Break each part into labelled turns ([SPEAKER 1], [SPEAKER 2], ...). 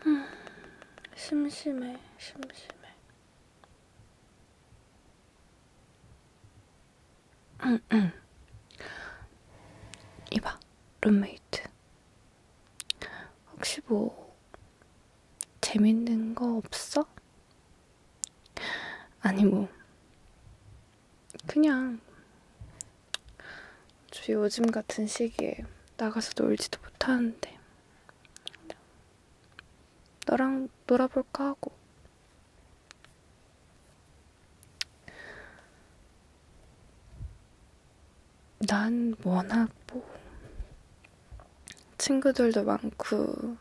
[SPEAKER 1] 아, 심심해, 심심해. 이봐, 룸메이트. 혹시 뭐 재밌는 거 없어? 아니 뭐 그냥 저 요즘 같은 시기에 나가서 놀지도 못하는데 너랑 놀아볼까 하고 난 워낙 뭐 친구들도 많고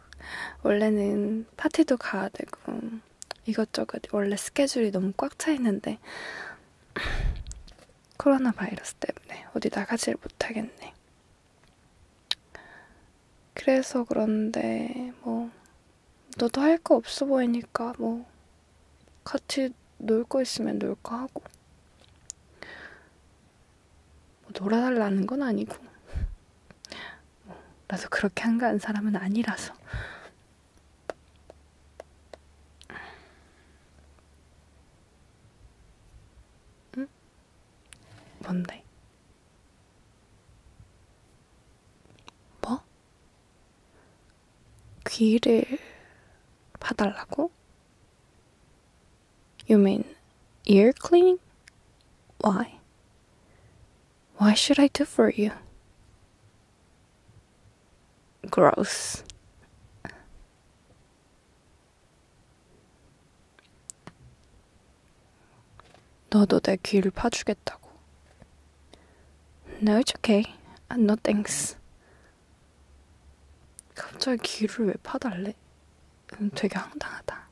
[SPEAKER 1] 원래는 파티도 가야 되고 이것저것 원래 스케줄이 너무 꽉 차 있는데 코로나 바이러스 때문에 어디 나가질 못하겠네. 그래서 그런데 뭐 너도 할 거 없어 보이니까 뭐 같이 놀 거 있으면 놀 거 하고 뭐 놀아달라는 건 아니고 뭐 나도 그렇게 한가한 사람은 아니라서 응? 뭔데? 뭐? 귀를 봐달라고? You mean ear cleaning? Why? Why should I do for you? Gross. 너도 내 귀를 파주겠다고. No, it's okay. No thanks. 갑자기 귀를 왜 파달래? 음, 되게 황당하다.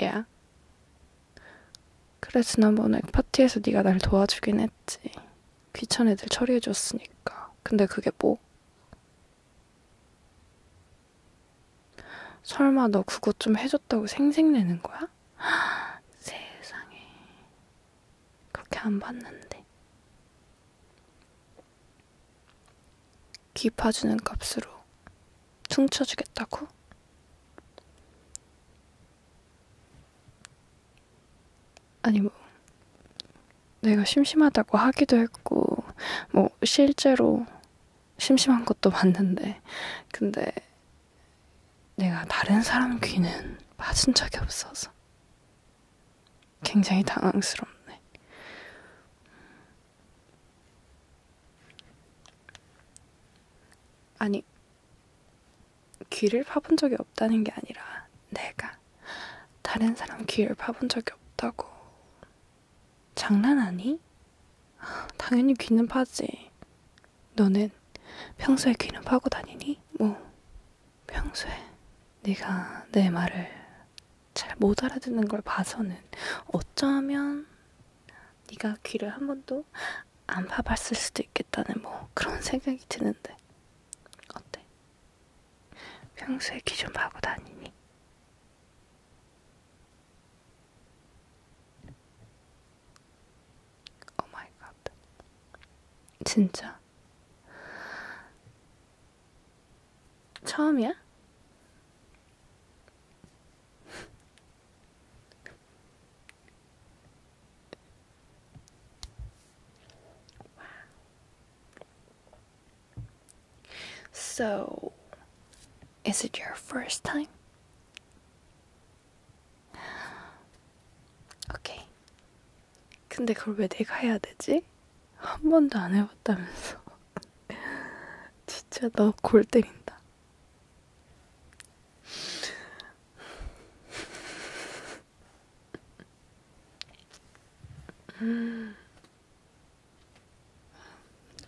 [SPEAKER 1] 야. Yeah. 그래 지난번에 파티에서 네가 날 도와주긴 했지. 귀찮은 애들 처리해줬으니까. 근데 그게 뭐? 설마 너 그거 좀 해줬다고 생색내는 거야? 세상에. 그렇게 안 봤는데. 귀 파주는 값으로 퉁쳐주겠다고? 아니 뭐 내가 심심하다고 하기도 했고 뭐 실제로 심심한 것도 맞는데, 근데 내가 다른 사람 귀는 빠진 적이 없어서 굉장히 당황스럽네. 아니, 귀를 파본 적이 없다는 게 아니라 내가 다른 사람 귀를 파본 적이 없다고 장난하니? 당연히 귀는 파지. 너는 평소에 귀는 파고 다니니? 뭐, 평소에 네가 내 말을 잘 못 알아듣는 걸 봐서는 어쩌면 네가 귀를 한 번도 안 파봤을 수도 있겠다는 뭐 그런 생각이 드는데 어때? 평소에 귀 좀 파고 다니니? 오 마이 갓. 진짜? 처음이야? so Is it your first time? 오케이. 근데 그걸 왜 내가 해야 되지? 한 번도 안 해봤다면서. 진짜 너 골 때린다. 음.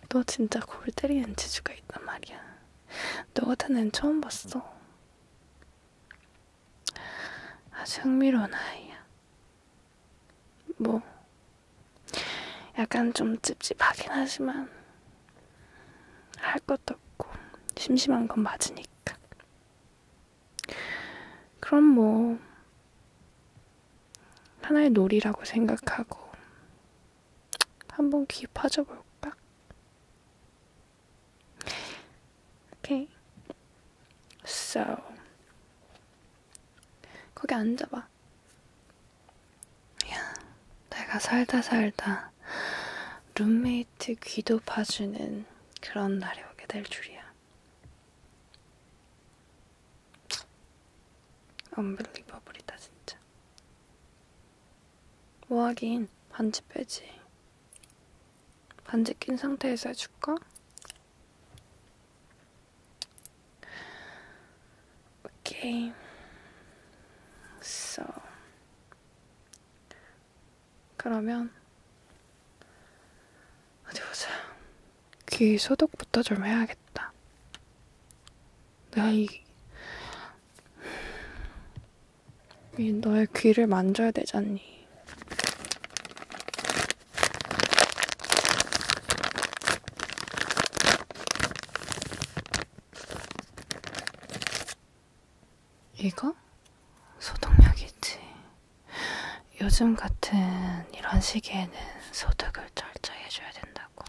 [SPEAKER 1] 너 진짜 골 때리는 재주가 있단 말이야. 너 같은 애는 처음 봤어. 아주 흥미로운 아이야. 뭐, 약간 좀 찝찝하긴 하지만, 할 것도 없고, 심심한 건 맞으니까. 그럼 뭐, 하나의 놀이라고 생각하고, 한번 귀 파져볼까? Okay. So. 거기 앉아봐. 야, 내가 살다 살다 룸메이트 귀도 파주는 그런 날이 오게 될 줄이야. 언빌리버블이다 진짜. 뭐 하긴 반지 빼지. 반지 낀 상태에서 해줄까? 오케이. So. 그러면 어디 보자. 귀 소독부터 좀 해야겠다. 내가 이, 이 너의 귀를 만져야 되잖니. 이거? 소독약이지. 요즘 같은 이런 시기에는 소독을 철저히 해줘야 된다고.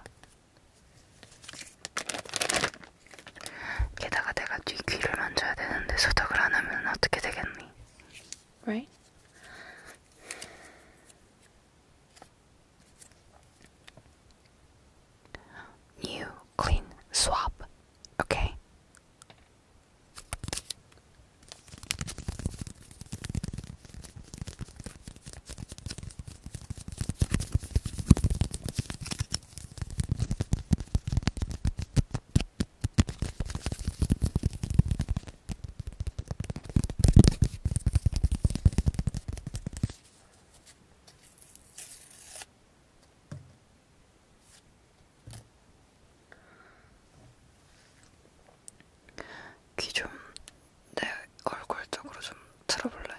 [SPEAKER 1] 게다가 내가 뒤 귀를 만져야 되는데 소독을 안 하면 어떻게 되겠니? Right? New clean swab. Okay. 귀좀 내 네, 얼굴 쪽으로 좀 틀어볼래?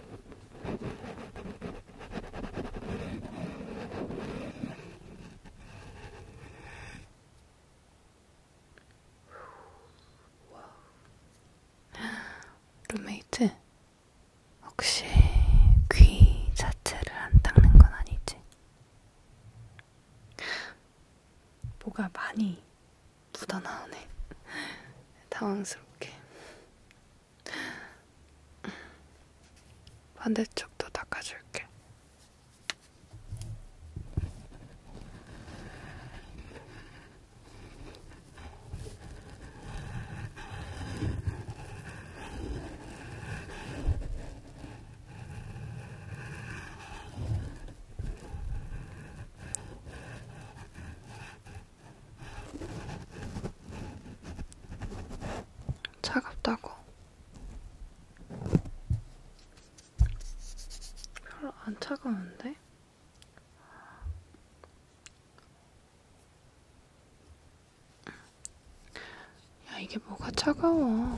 [SPEAKER 1] 룸메이트, 혹시 귀 자체를 안 닦는 건 아니지? 뭐가 많이 묻어나오네. 당황스럽게. 반대쪽도 닦아줄게. 차갑다고 별로 안 차가운데? 야, 이게 뭐가 차가워?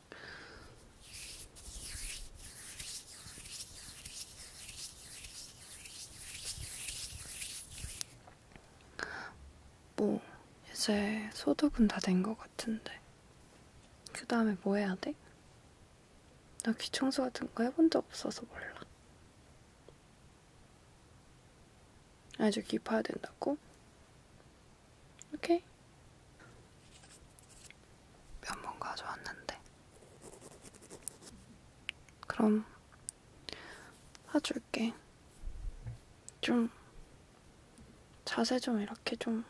[SPEAKER 1] 뭐 이제 소득은 다 된 것 같은데 그 다음에 뭐 해야 돼? 나 귀청소 같은 거 해본 적 없어서 몰라 아주 깊어야 된다고? 오케이 몇번 가져왔는데. 그럼 사줄게. 좀 자세 좀 이렇게 좀좀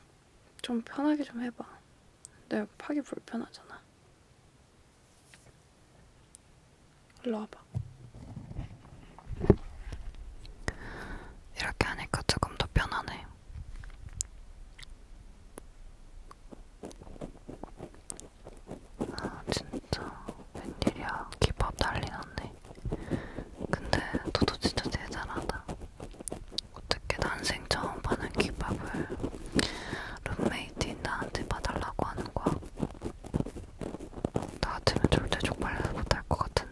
[SPEAKER 1] 좀 편하게 좀 해봐. 내가 파기 불편하잖아. 일로 와봐. 이렇게 하니까 조금 더 편하네. 아 진짜 웬일이야 기밥 난리났네 근데 너도 진짜 대단하다 어떻게 난생 처음 파는 기밥을 룸메이트인 나한테 봐달라고 하는 거야 나 같으면 절대 족발을 못할 것 같은데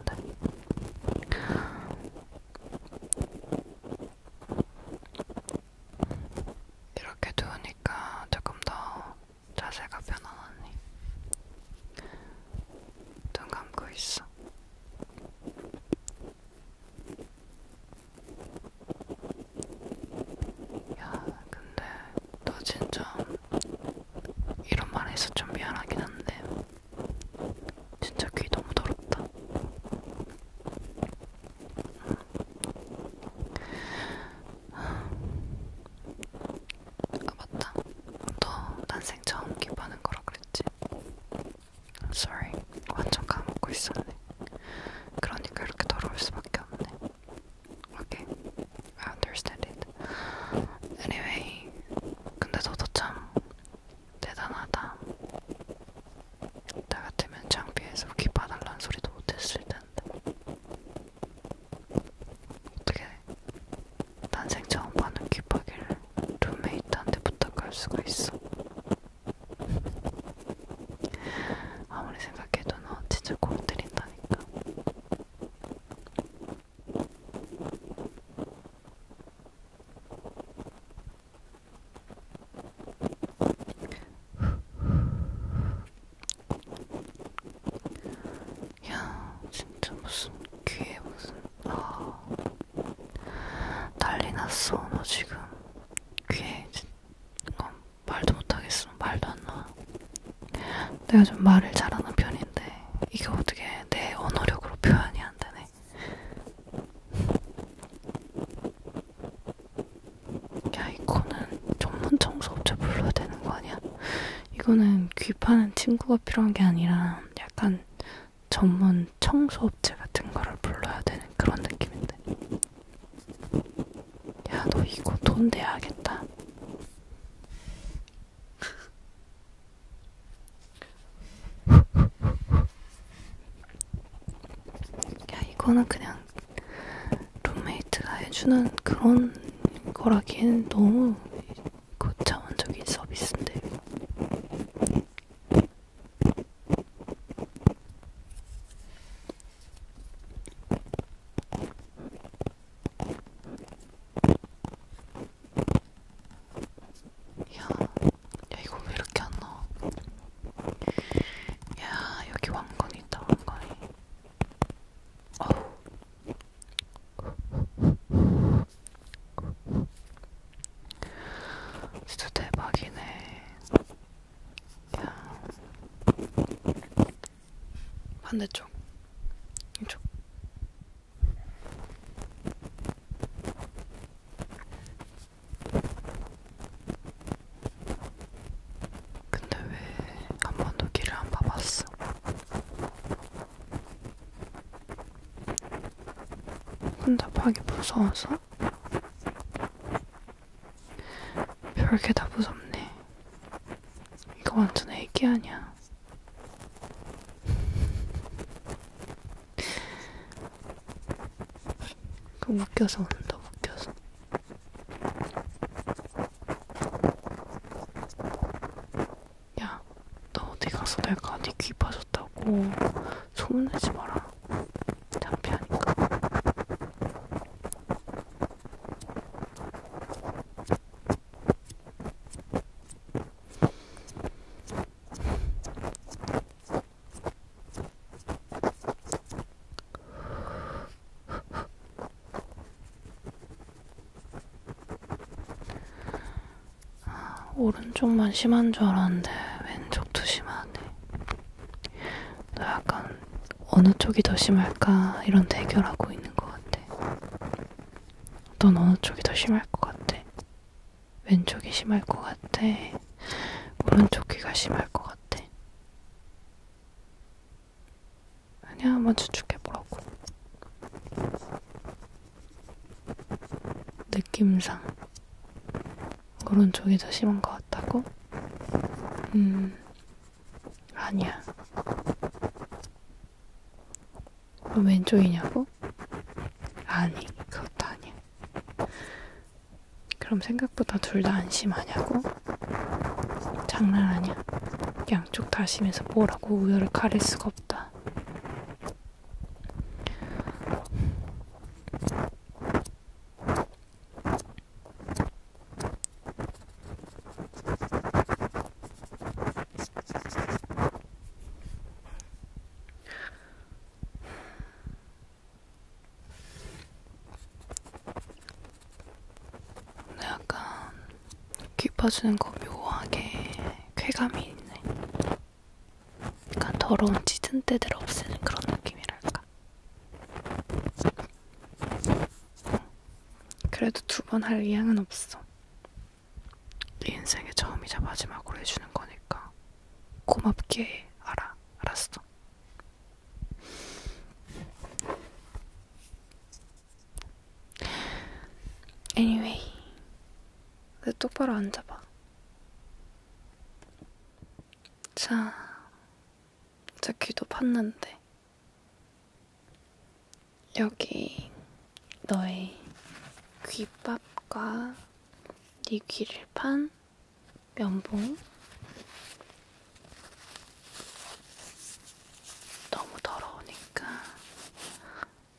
[SPEAKER 1] 이렇게 두니까 조금 더 자세가 편안하니. 눈 감고 있어. 야, 근데 너 진짜 이런 말 해서 좀 미안하긴 한데 진짜 귀 너무 더럽다. 아 맞다. 너 난생 처음 기부하는 거라 그랬지? Sorry. 완전 까먹고 있었네. 그러니까 이렇게 더러울 수밖에 없네. Okay. I understand it. Anyway. 근데 너도 참 대단하다. 나 같으면 장비에서 기파달란 소리도 못했을 텐데. 어떻게 난생 처음 보는 기파기를 룸메이트한테 부탁할 수가 있어. 아무리 생각해도 너 진짜 공 때린다니까. 야, 진짜 무슨 귀에 무슨 아 난리 났어. 너 지금 귀에 이건 말도 못하겠어. 말도 안 나. 내가 좀 말을 잘하는 편인데 이게 어떻게 내 언어력으로 표현이 안 되네. 야 이거는 전문 청소업체 불러야 되는 거 아니야? 이거는 귀파는 친구가 필요한 게 아니라 약간 전문 청소업체 같은 거를 불러야 되는 그런 느낌인데 야너 이거 돈 내야겠다 야, 이거는 그냥 룸메이트가 해주는 그런 거라기엔 너무 고차원적인 서비스인데. 야, 야 이거 왜 이렇게 안 나와? 야 여기 왕건이 있다 왕건이. 어우. 진짜 대박이네. 야. 반대쪽. 이쪽. 근데 왜 한 번도 길을 안 봐봤어? 혼잡하기 무서워서? 별게 다 무섭네. 이거 완전 애기 아니야. 그 웃겨서 온다, 웃겨서. 야, 너 어디 가서 내가 네 귀 빠졌다고 소문내지 마라. 창피하니까. 아, 오른쪽만 심한 줄 알았는데 왼쪽도 심하네. 너 약간 어느 쪽이 더 심할까 이런 대결하고 있는 것 같아. 넌 어느 쪽이 더 심할 것 같아? 왼쪽이 심할 것 같아. 오른쪽 귀가 심할 것 같아. 아니야, 한번 추측해보라고. 느낌상. 오른쪽이 더 심한 것 같다고? 음, 아니야. 왼쪽이냐고? 아니, 그것도 아니야. 그럼 생각보다 둘 다안 심하냐고? 장난 아니야. 양쪽 다 심해서 뭐라고 우열을 가릴 수가 없다. 약간 귀 파주는 거 묘하게 쾌감이 있네. 약간 더러운 찌든때들 없애는 그런 느낌이랄까. 그래도 두 번 할 의향은 없어. 네 인생의 처음이자 마지막으로 해주는 거니까 고맙게 알아. 알았어. Anyway, 너 똑바로 앉아봐. 자, 제 귀도 팠는데. 여기 너의 귓밥과 네 귀를 판 면봉 너무 더러우니까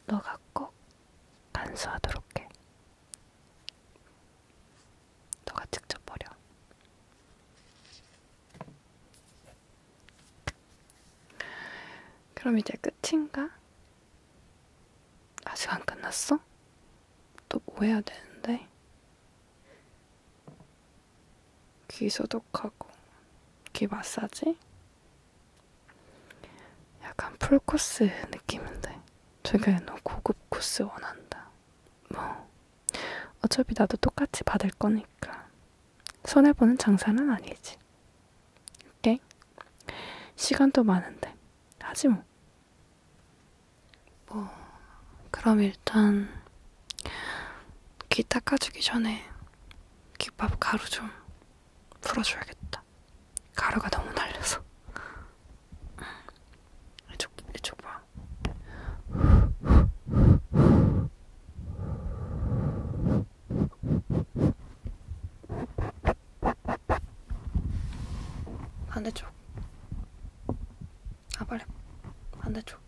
[SPEAKER 1] 너가 꼭 간수하도록 해. 너가 직접 버려. 그럼 이제 끝인가? 아직 안 끝났어? 또뭐 해야 되는데? 귀 소독하고 귀 마사지? 약간 풀코스 느낌인데 최근에 너무 고급 코스 원한다 뭐 어차피 나도 똑같이 받을 거니까 손해보는 장사는 아니지 오케이? 시간도 많은데 하지 뭐 뭐, 그럼 일단 귀 닦아주기 전에 귓밥 가루 좀 풀어줘야겠다. 가루가 너무 날려서. 이쪽, 이쪽 봐. 반대쪽 아 빨리 반대쪽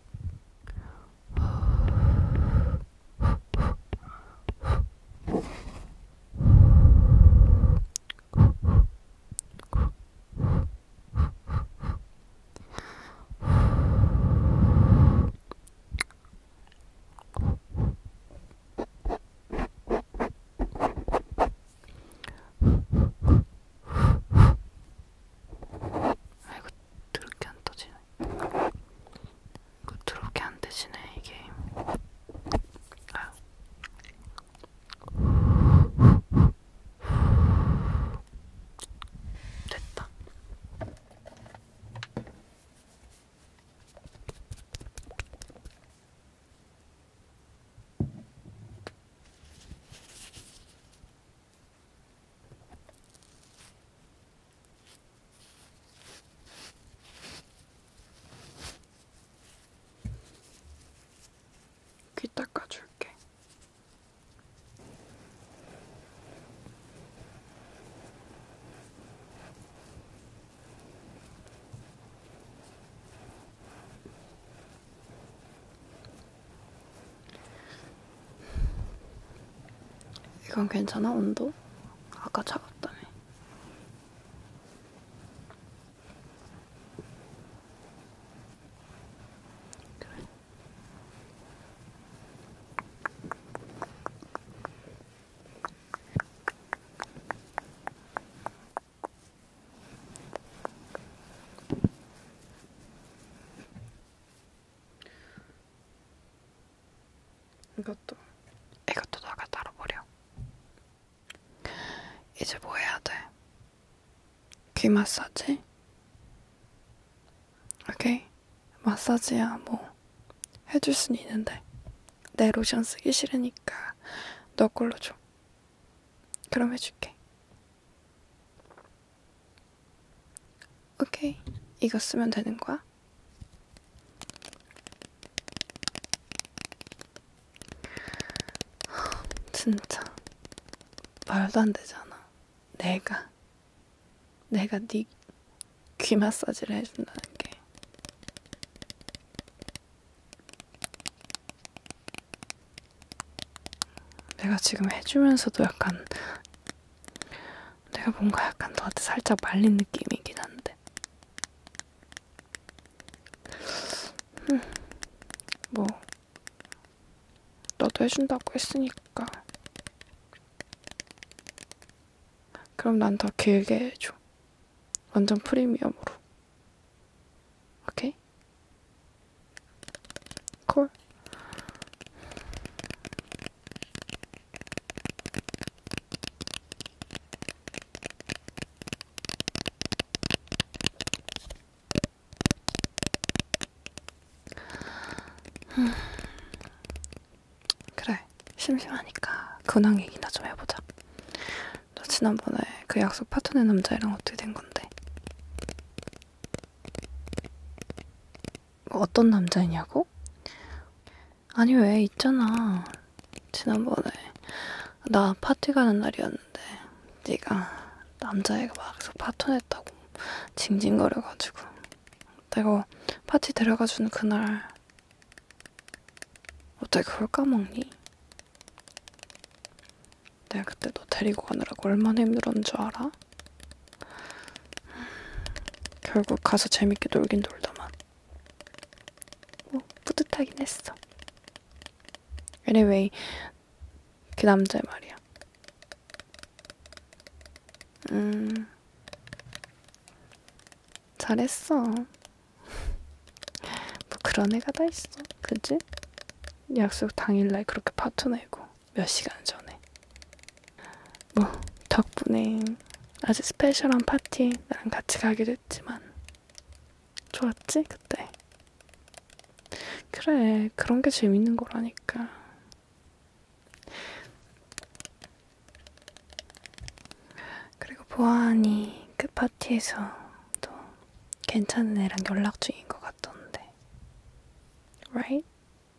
[SPEAKER 1] 아이고 드럽게 안 떠지네. 이거 드럽게 안 되지네 이게. 아. 됐다. 귀 닦아줄게. 이건 괜찮아? 온도? 아까 차갑다며. 그래. 이것도 이것도 너가 따라버려. 이제 뭐 해야 돼? 귀 마사지? 오케이 마사지야 뭐 해줄 순 있는데 내 로션 쓰기 싫으니까 너 걸로 줘. 그럼 해줄게. 오케이. 이거 쓰면 되는 거야? 진짜 말도 안 되잖아. 내가 내가 네 귀 마사지를 해준다는 게 내가 지금 해주면서도 약간 내가 뭔가 약간 너한테 살짝 말린 느낌이긴 한데 음, 뭐 너도 해준다고 했으니까 그럼 난 더 길게 해줘 완전 프리미엄으로 오케이? 콜. 음. 그래, 심심하니까 근황 얘기나 좀 해보자. 너 지난번에 그 약속 파토네 남자애랑 어떻게 된 건데? 뭐 어떤 남자이냐고? 아니 왜 있잖아 지난번에 나 파티 가는 날이었는데 네가 남자애가 막서 파토냈다고 징징거려가지고 내가 파티 데려가주는 그날 어떻게 그걸 까먹니? 내가 그때 너 데리고 가느라고 얼마나 힘들었는 줄 알아? 결국 가서 재밌게 놀긴 놀다만 뭐 뿌듯하긴 했어 anyway 그 남자 말이야 음 잘했어 뭐 그런 애가 다 있어, 그지? 약속 당일날 그렇게 파투 내고 몇 시간 전에. 뭐 덕분에 아주 스페셜한 파티 나랑 같이 가기로 했지만 좋았지 그때. 그래 그런 게 재밌는 거라니까. 그리고 보아하니 그 파티에서 또 괜찮은 애랑 연락 중인 것 같던데. Right?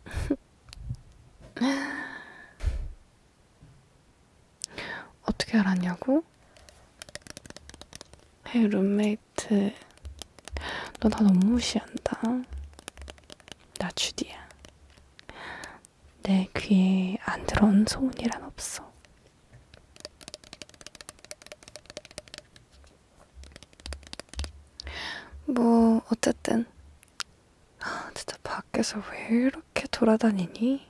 [SPEAKER 1] 어떻게 알았냐고? 헤이 룸메이트 너 나 너무 무시한다 나 주디야 내 귀에 안 들어온 소문이란 없어 뭐 어쨌든 아, 진짜 밖에서 왜 이렇게 돌아다니니?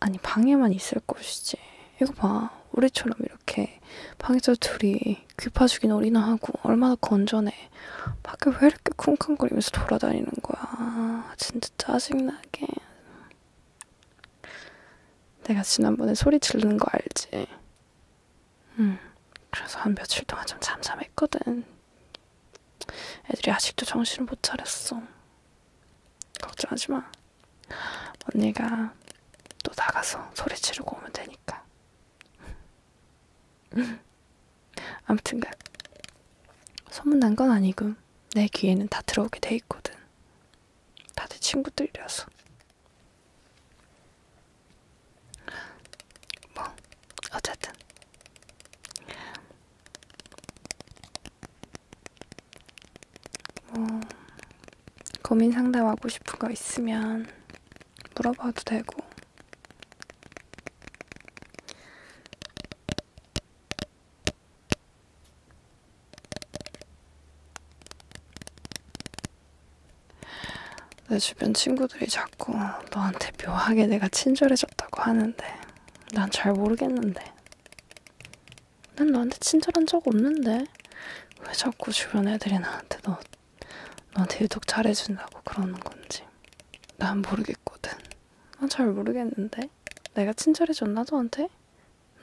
[SPEAKER 1] 아니 방에만 있을 것이지 이거 봐 우리처럼 이렇게 방에서 둘이 귀파죽인 어리나 하고 얼마나 건전해 밖에 왜 이렇게 쿵쾅거리면서 돌아다니는 거야 진짜 짜증나게 내가 지난번에 소리 지르는 거 알지? 응. 음, 그래서 한 며칠 동안 좀 잠잠했거든. 애들이 아직도 정신을 못 차렸어. 걱정하지 마. 언니가 또 나가서 소리 지르고 오면 되니까. 아무튼 그 소문난 건 아니고 내 귀에는 다 들어오게 돼 있거든. 다들 친구들이라서. 뭐, 어쨌든. 뭐, 고민 상담하고 싶은 거 있으면 물어봐도 되고. 내 주변 친구들이 자꾸 너한테 묘하게 내가 친절해졌다고 하는데 난 잘 모르겠는데 난 너한테 친절한 적 없는데 왜 자꾸 주변 애들이 나한테 너 너한테 유독 잘해준다고 그러는 건지 난 모르겠거든 난 잘 모르겠는데 내가 친절해졌나 너한테?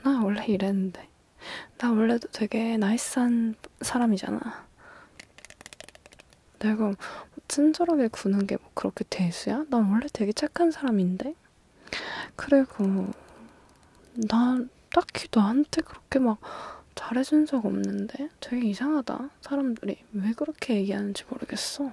[SPEAKER 1] 나 원래 이랬는데. 나 원래도 되게 나이스한 사람이잖아. 내가 친절하게 구는 게 뭐 그렇게 대수야? 난 원래 되게 착한 사람인데. 그리고 난 딱히 너한테 그렇게 막 잘해준 적 없는데 되게 이상하다. 사람들이 왜 그렇게 얘기하는지 모르겠어.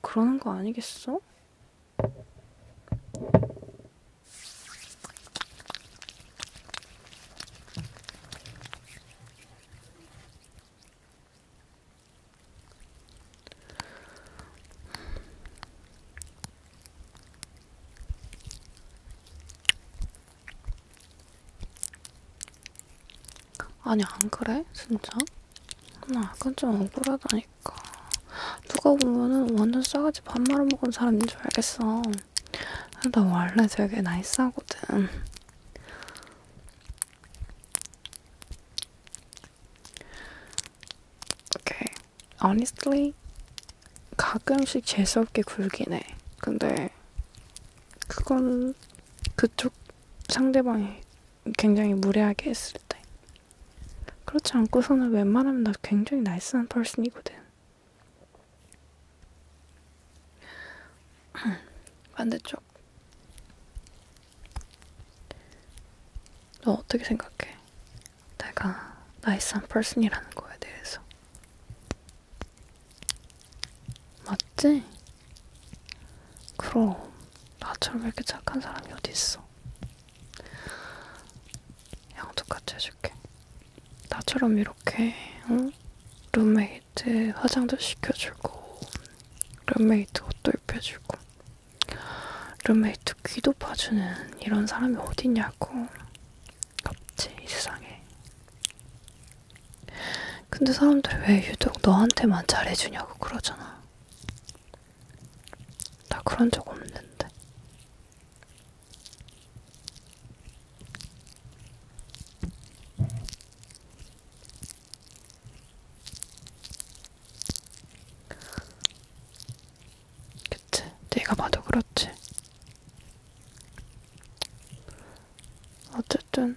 [SPEAKER 1] 그러는 거 아니겠어? 아니 안 그래? 진짜? 나 약간 좀 억울하다니까. 누가 보면은 완전 싸가지 밥 말아먹은 사람인 줄 알겠어. 나 원래 되게 나이스하거든. Okay. Honestly, 가끔씩 재수없게 굴긴 해. 근데 그건 그쪽 상대방이 굉장히 무례하게 했을 때. 그렇지 않고서는 웬만하면 나 굉장히 나이스한 펄슨이거든. 반대쪽. 너 어떻게 생각해? 내가 나이스한 펄슨이라는 거에 대해서. 맞지? 그럼 나처럼 이렇게 착한 사람이 어딨어? 양쪽같이 해줄게. 나처럼 이렇게 응? 룸메이트 화장도 시켜주고 룸메이트 옷도 입혀주고 룸메이트 귀도 파주는 이런 사람이 어딨냐고 없지 이 세상에 근데 사람들이 왜 유독 너한테만 잘해주냐고 그러잖아 나 그런 적 없는데. 그치? 네가 봐도 그렇지. 어쨌든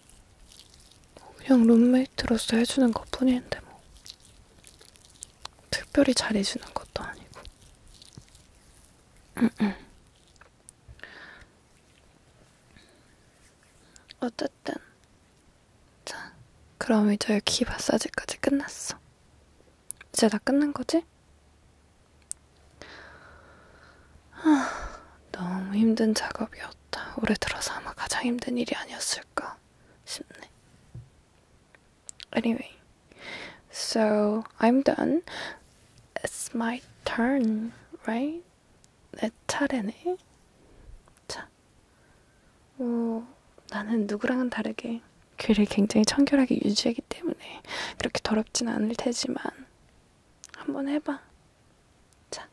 [SPEAKER 1] 그냥 룸메이트로서 해주는 것 뿐인데 뭐 특별히 잘해주는 것도 아니고 음, 음. 어쨌든 자 그럼 이제 귀 마사지까지 끝났어 이제 다 끝난 거지? 하, 아, 너무 힘든 작업이었다. 올해 들어서 아마 가장 힘든 일이 아니었을까 싶네. Anyway, so I'm done. It's my turn, right? 내 차례네. 자, 오, 뭐, 나는 누구랑은 다르게 귀를 굉장히 청결하게 유지하기 때문에 그렇게 더럽진 않을 테지만 한번 해봐. 자.